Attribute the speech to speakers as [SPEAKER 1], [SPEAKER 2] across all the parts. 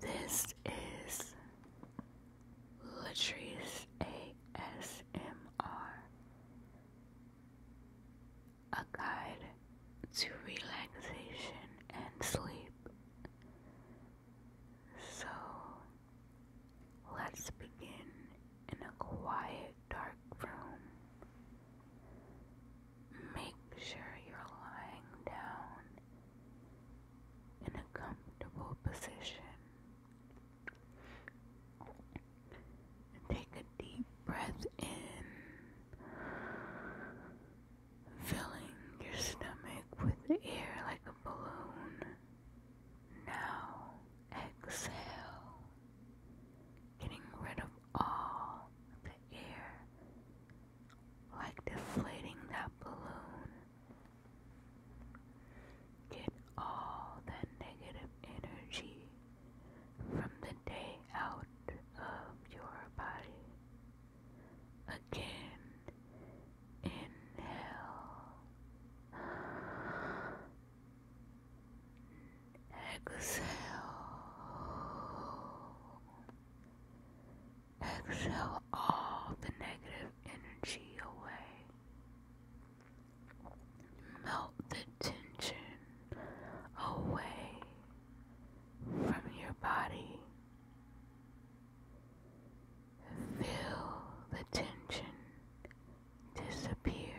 [SPEAKER 1] This is Latrice ASMR, guide to relaxation and sleep. So let's begin in a quiet, dark room. Make sure you're lying down in a comfortable position. Take a deep breath in, filling your stomach with air like a balloon. Now exhale, getting rid of all the air like deflating that balloon. Get all that negative energy from the day out of your body. Again, inhale, exhale. Exhale all the negative energy away. Melt the tension away from your body. Feel the tension disappear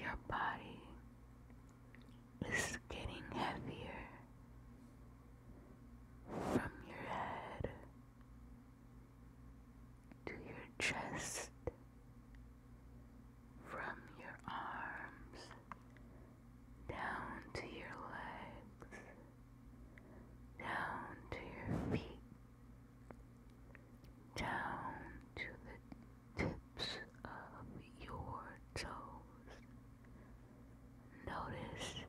[SPEAKER 1] Your body is getting heavier from your head to your chest, from your arms down to your legs, down to your feet, down to the tips of your toes. Notice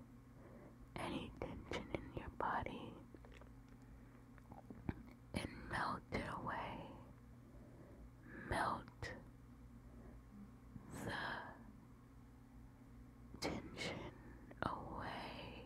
[SPEAKER 1] any tension in your body and melt it away. Melt the tension away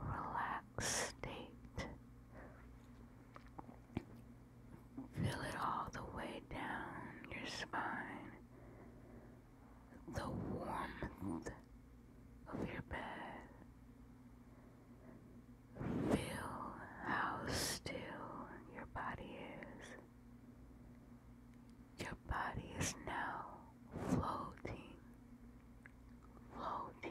[SPEAKER 1] relaxed state. Feel it all the way down your spine, the warmth of your bed. Feel how still your body is. Your body is now floating, floating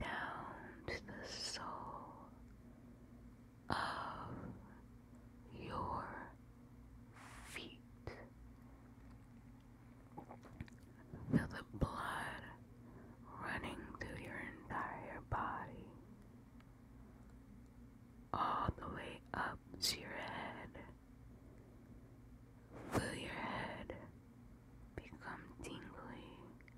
[SPEAKER 1] down to the sole of your feet. Feel the blood running through your entire body, all the way up to your head. Feel your head become tingling?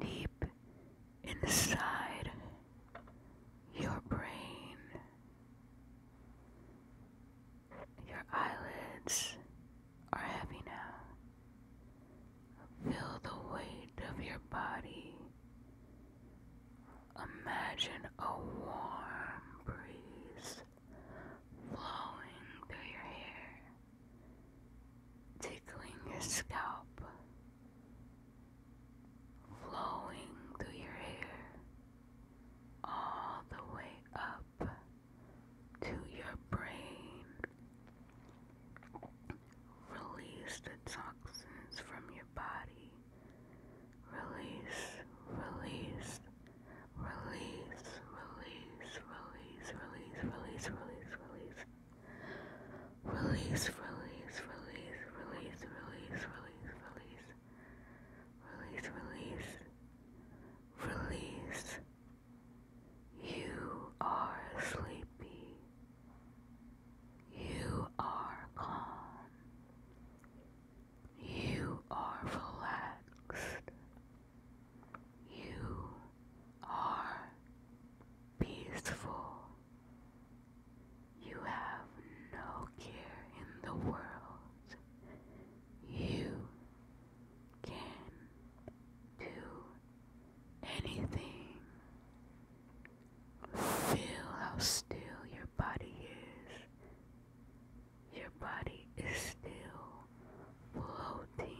[SPEAKER 1] deep inside your brain, your eyelids are heavy now. Feel the weight of your body. Imagine a warm breeze flowing through your hair tickling your scalp, flowing through your hair all the way up to your brain. Release the toxins from your body. Release, release, release, release, release, release, release, release, release. Release, release, release, release, release, release, release. Release, release. Release. You are sleepy. You are calm. You are relaxed. You are peaceful. You have no care in the world. You can do anything. Feel how still your body is. Your body is still floating,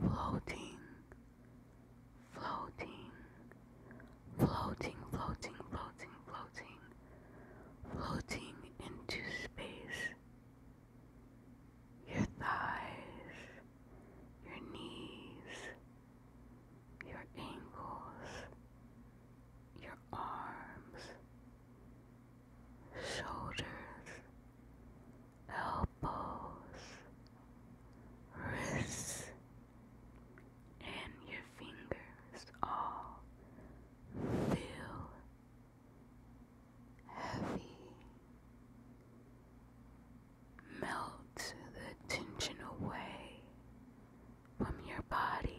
[SPEAKER 1] floating, floating, floating, floating, floating, floating, floating into space. Your thighs, your knees, your ankles, your arms, shoulders, elbows, wrists, and your fingers all feel heavy. Melt the tension away from your body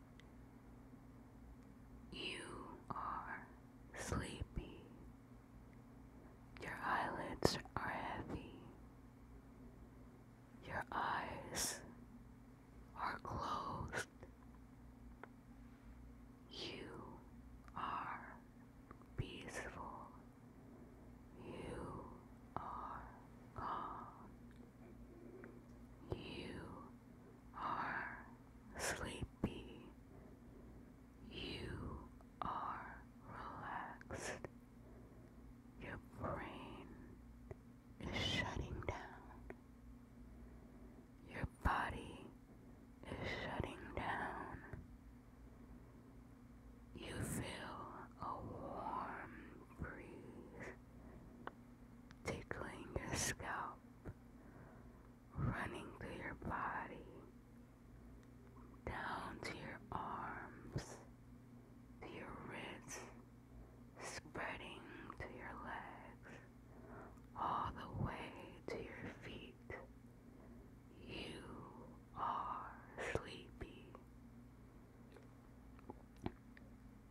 [SPEAKER 1] You are sleepy. Your eyelids are heavy. Your eyes are closed. You are peaceful. You are calm. You are sleepy. You are relaxed. Your brain is shutting down. Your body is shutting down. You feel a warm breeze tickling your scalp running through your body, down to your arms, to your wrists, spreading to your legs, all the way to your feet. You are sleepy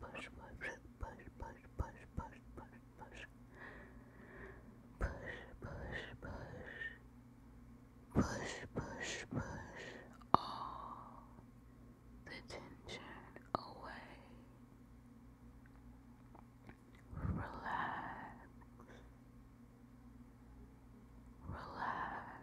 [SPEAKER 1] push, push, push, push, push, push, push, push, push, push, push, push, push, push all the tension away. Relax. Relax.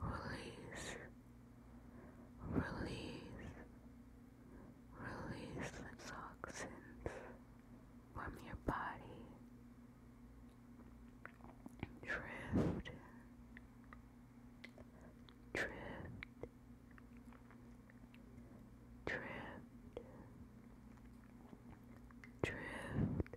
[SPEAKER 1] Release, release, release toxins from your body. Drift, drift, drift, drift,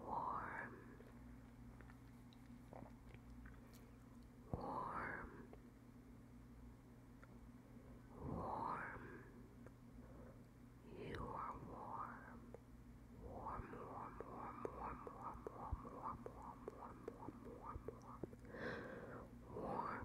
[SPEAKER 1] warm, warm, warm. You are warm, warm, warm, warm, warm, warm, warm, warm, warm, warm, warm, warm, warm, warm. warm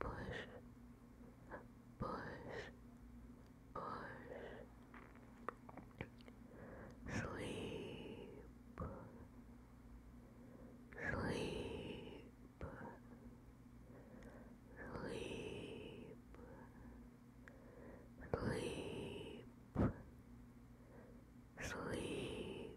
[SPEAKER 1] push, push, push. Sleep, sleep, sleep. Sleep, sleep,